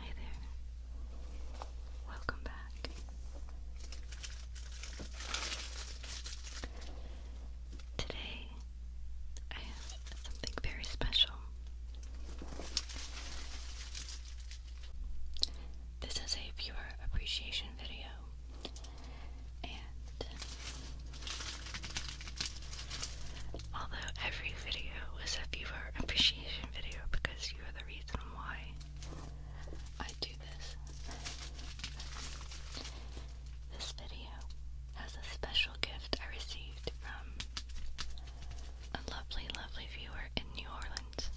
Hi there. Welcome back. Today I have something very special. This is a viewer appreciation video, and although every video is a viewer appreciation video because you are the reason why I do this, this video has a special gift I received from a lovely, lovely viewer in New Orleans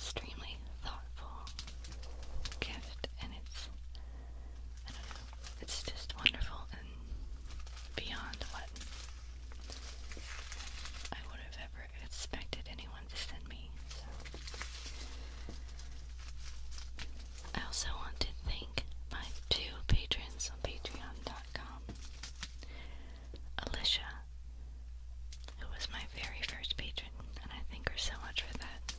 extremely thoughtful gift, and it's I don't know, it's just wonderful and beyond what I would have ever expected anyone to send me. So. I also want to thank my two patrons on Patreon Alicia, who was my very first patron, and I thank her so much for that.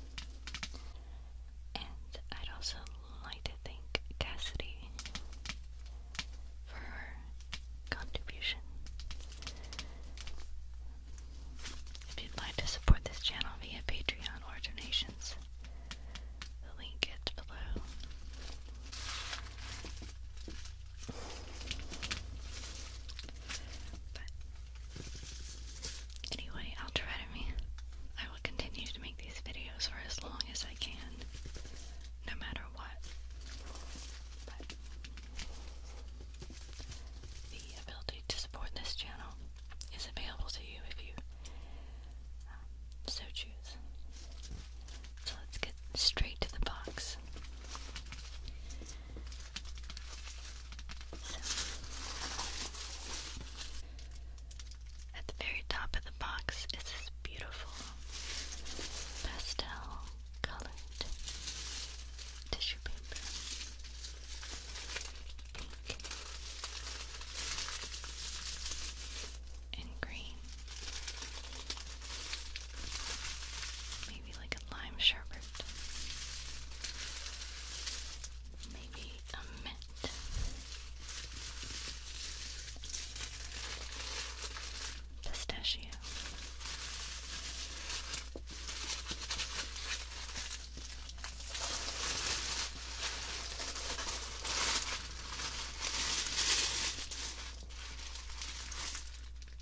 And I'd also like to thank Cassidy for her contribution. If you'd like to support this channel via Patreon or donations, the link is below. But anyway, I'll try to me. I will continue to make these videos for as long as I can, no matter what. But the ability to support this channel is available to you if you um, so choose. So let's get straight to the box. at the very top of the box is this beautiful pastel colored tissue paper and green. Maybe like a lime sherbet. Maybe a mint. Pistachio.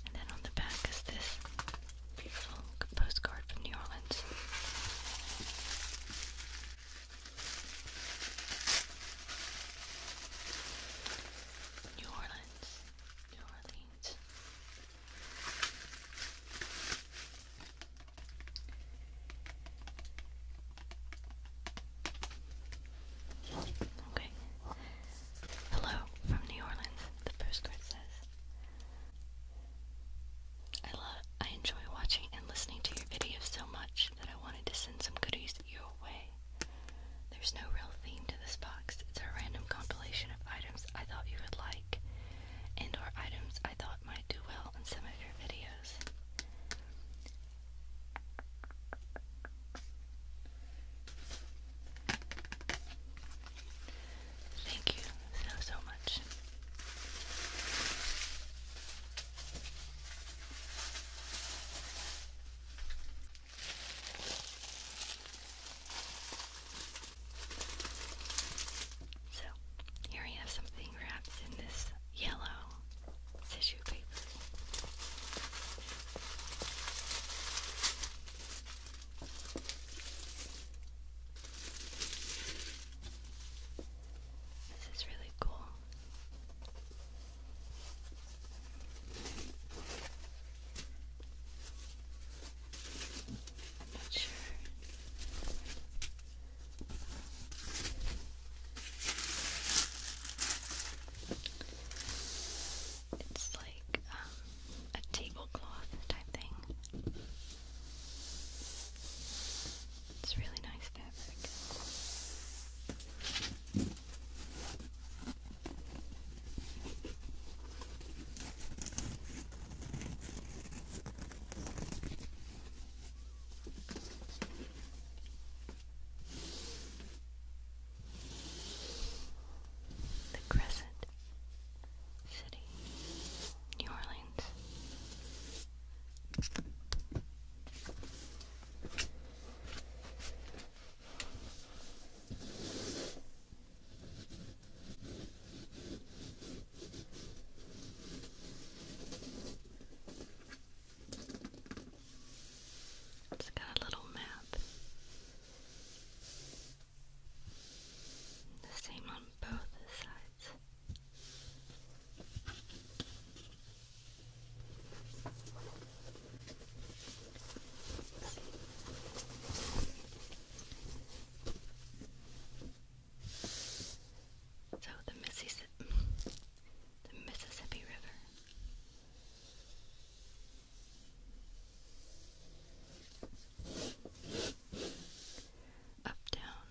And then on the back is this beautiful postcard from New Orleans. New Orleans, New Orleans. Okay. Hello from New Orleans, the postcard says. I love I enjoy watching and listening to your videos so much that I wanted to send some goodies your way. There's no real theme to this box. It's a random compilation of items I thought you would like and or items I thought might do well on some of your videos. Thank you so, so much. So, here we have something wrapped in this yellow tissue paper. This is really cool. not sure it's like um, a tablecloth type thing. It's really nice fabric. The Crescent City, New Orleans. It's got a little map. The same on both sides. So the Mississippi, the Mississippi River. Uptown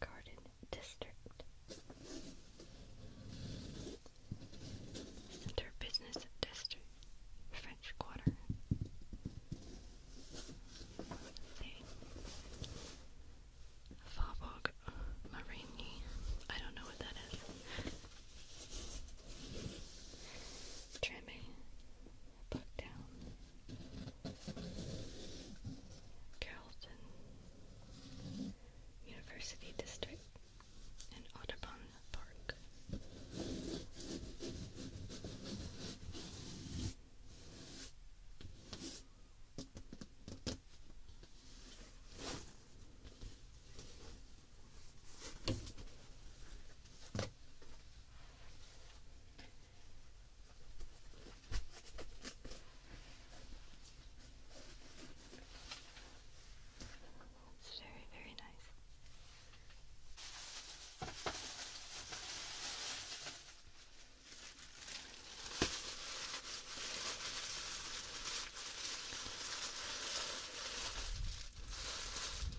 Garden District Center Business District French Quarter Farbog Marini. I don't know what that is. Trimming. Pluck down. University District and Audubon Park. It's very, very nice.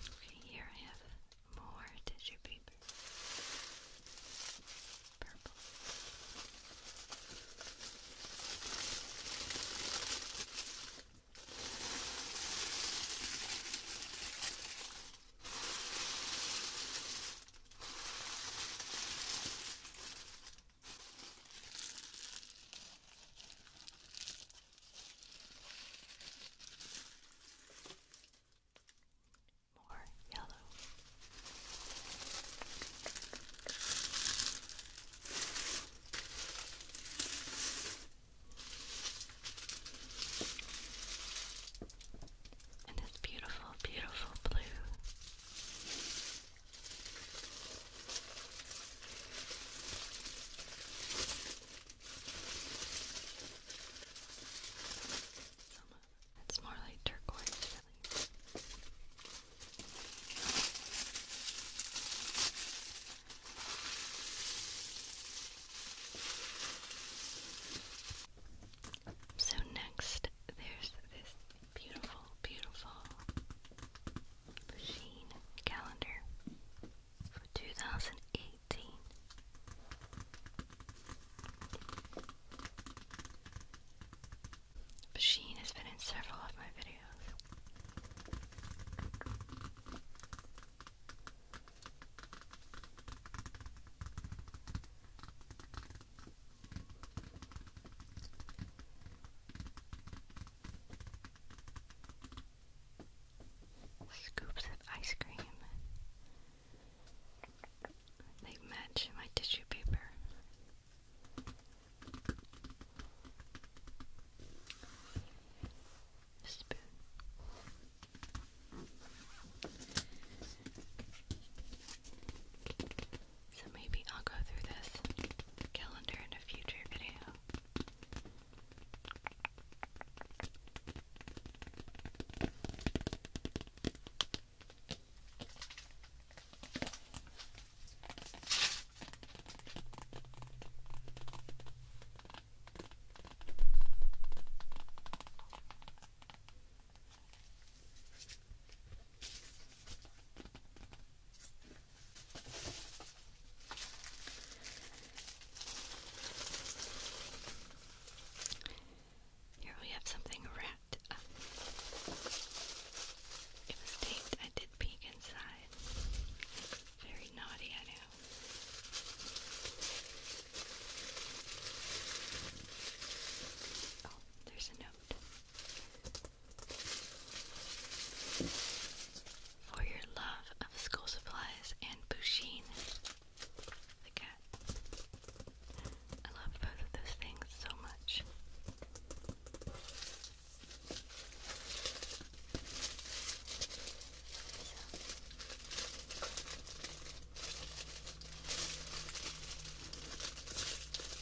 Okay, here I have more tissue paper. Purple. More yellow. And this beautiful, beautiful blue. It's more like turquoise, So next, there's this Beautiful, beautiful Sheen calendar for 2018. Sheen has been in several of my videos. Scoops of ice cream. They match my tissue paper. Spoon. So maybe I'll go through this calendar in a future video. Here we have something wrapped It was taped. I did peek inside. Very naughty, I know. Oh, there's a note. For your love of school supplies and Bushin, the cat. I love both of those things so much.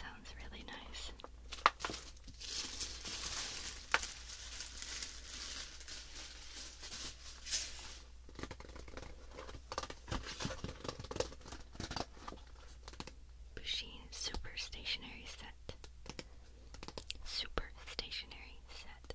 Sounds really nice. Bushin Super Stationery Set. Super Stationery Set.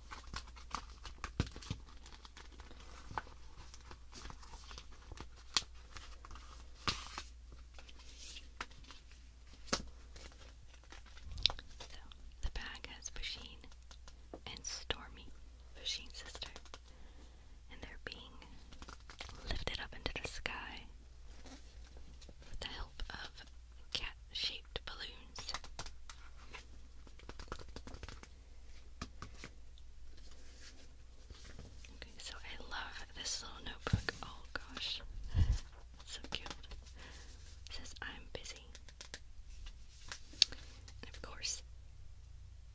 So the bag has Vasheen and Stormy, Vasheen's sister, and they're being lifted up into the sky with the help of cat shaped balloons. Okay, so I love this little notebook. Oh gosh, so cute. says, I'm busy. of course,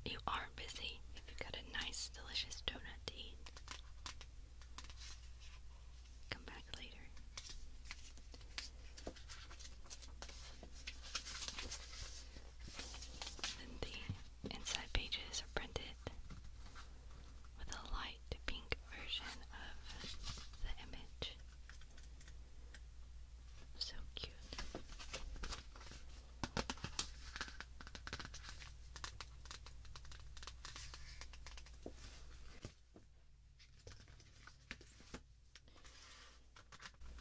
you are busy you've got a nice, delicious donut to eat. Come back later. the inside pages are printed with a light pink version of the image. So cute.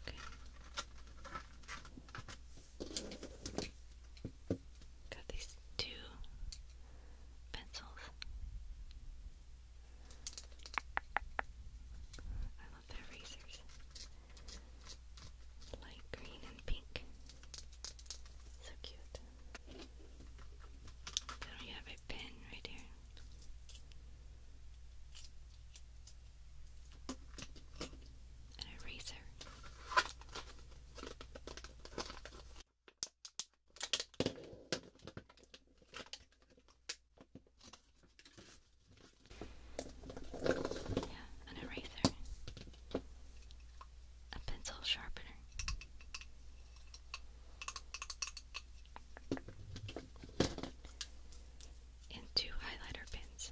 Okay. Got these two pencils. I love their razors. Light green and pink. So cute. Then we have a pen right here an eraser. Yeah, an eraser. A pencil sharpener and two highlighter pens.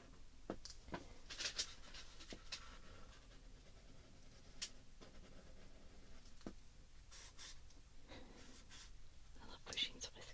I love pushing the whiskers.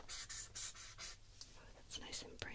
Oh, that's nice and bright.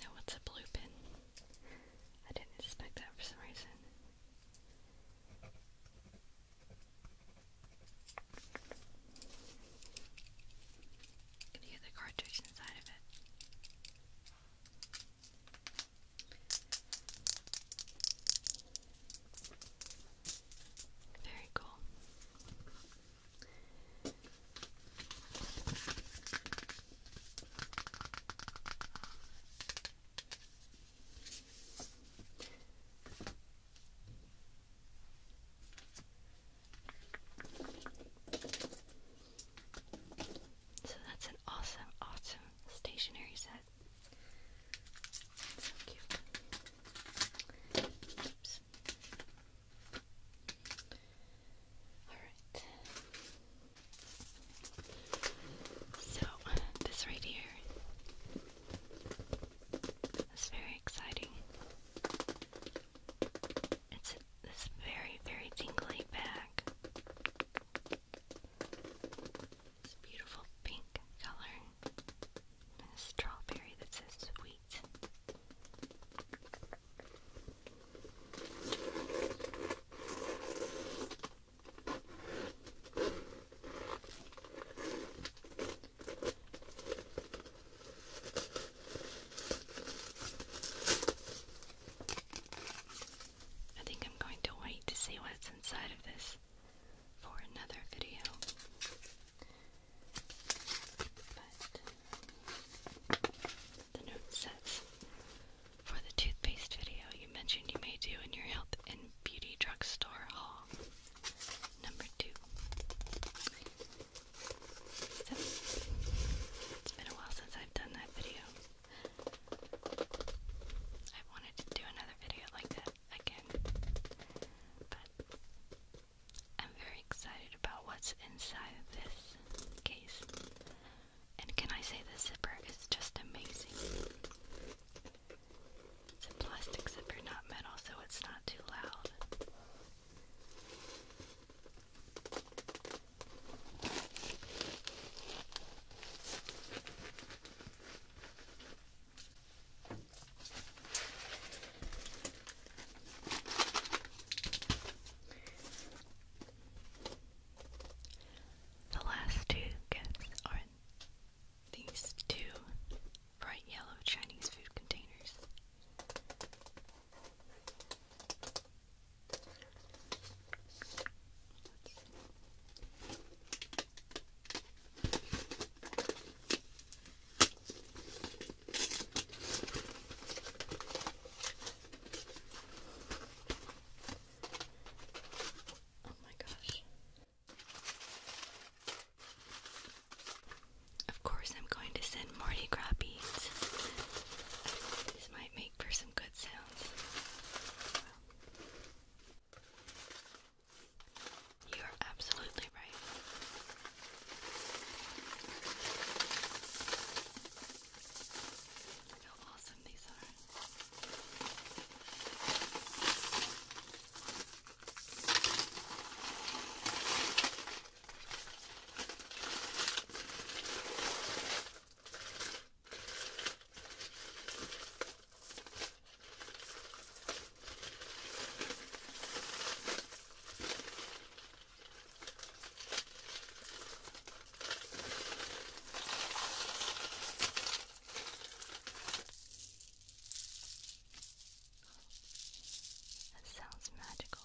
Now, what's a blue pin? I didn't expect that for some reason. Can you get the cartridge inside of it? Very cool. So that's an awesome, awesome stationery set. So cute. Oops. Alright. So, this right here is very exciting. It's this very, very tingly bag. This beautiful pink color. strawberry that says sweet. I think I'm going to wait to see what's inside of this for another video. But the note says for the toothpaste video you mentioned you may do in your health and beauty drugstore haul. Number two. it's been a while since I've done that video. I've wanted to do another video like that again. But I'm very excited about what's inside of this case. And can I say the zipper is just amazing? It's a plastic zipper, not metal, so it's not too loud. The last two gifts are these two bright yellow Chinese food containers. Oh my gosh. Of course, I'm going to send Mardi Gras beads. This might make for some good sounds. You are absolutely right. how awesome these are. That sounds magical.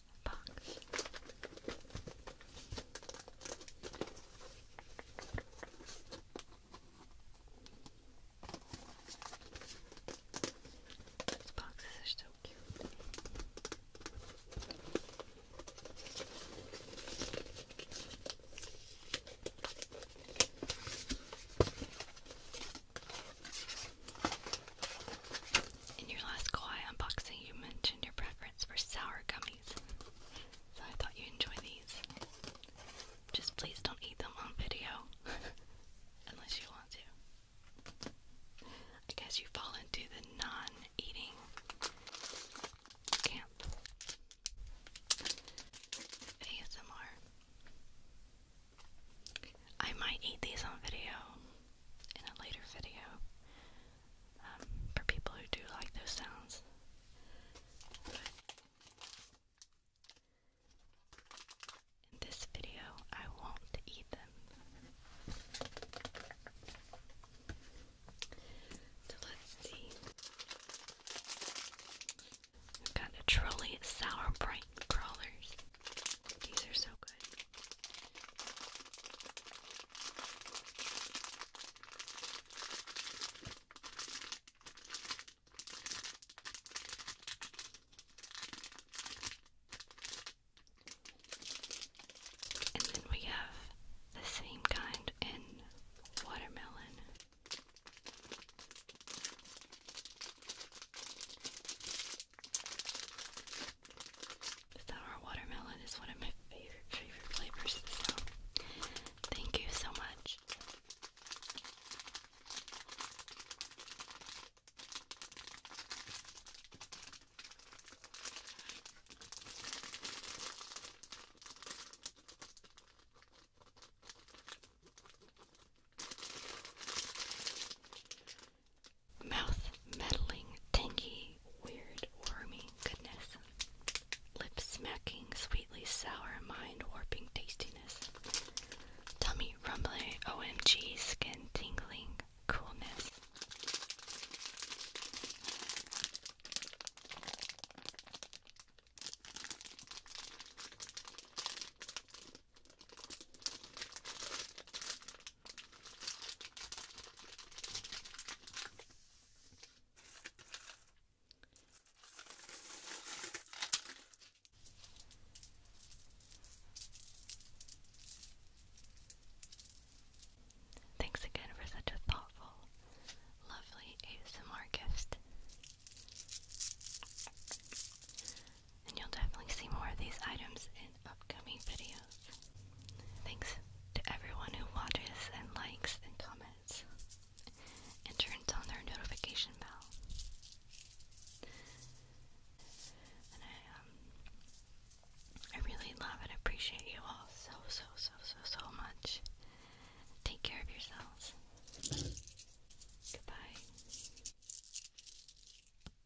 box. These so cute. In your last Kauai unboxing, you mentioned your preference for sour gummies, so I thought you enjoy these. Just please don't eat them on video, unless you want to. I guess you fall into the non-eating camp. ASMR. I might eat these on video in a later video um, for people who do like those sounds. in this video, I won't eat them. So let's see. got a trolley sour bright crawlers. These are so good. And then we have the same kind in watermelon. Sour watermelon is one of my favorite, favorite flavors, thank you so much. Mouth meddling, tangy, weird, wormy goodness. Lip smacking, sweetly sour, mind warping tastiness. Tummy rumbling, OMG, skin tingling, coolness. Thanks again for such a thoughtful, lovely ASMR gift. And you'll definitely see more of these items upcoming videos. Thanks to everyone who watches and likes and comments and turns on their notification bell. And I um, I really love and appreciate you all so so so so so much. Take care of yourselves. Goodbye.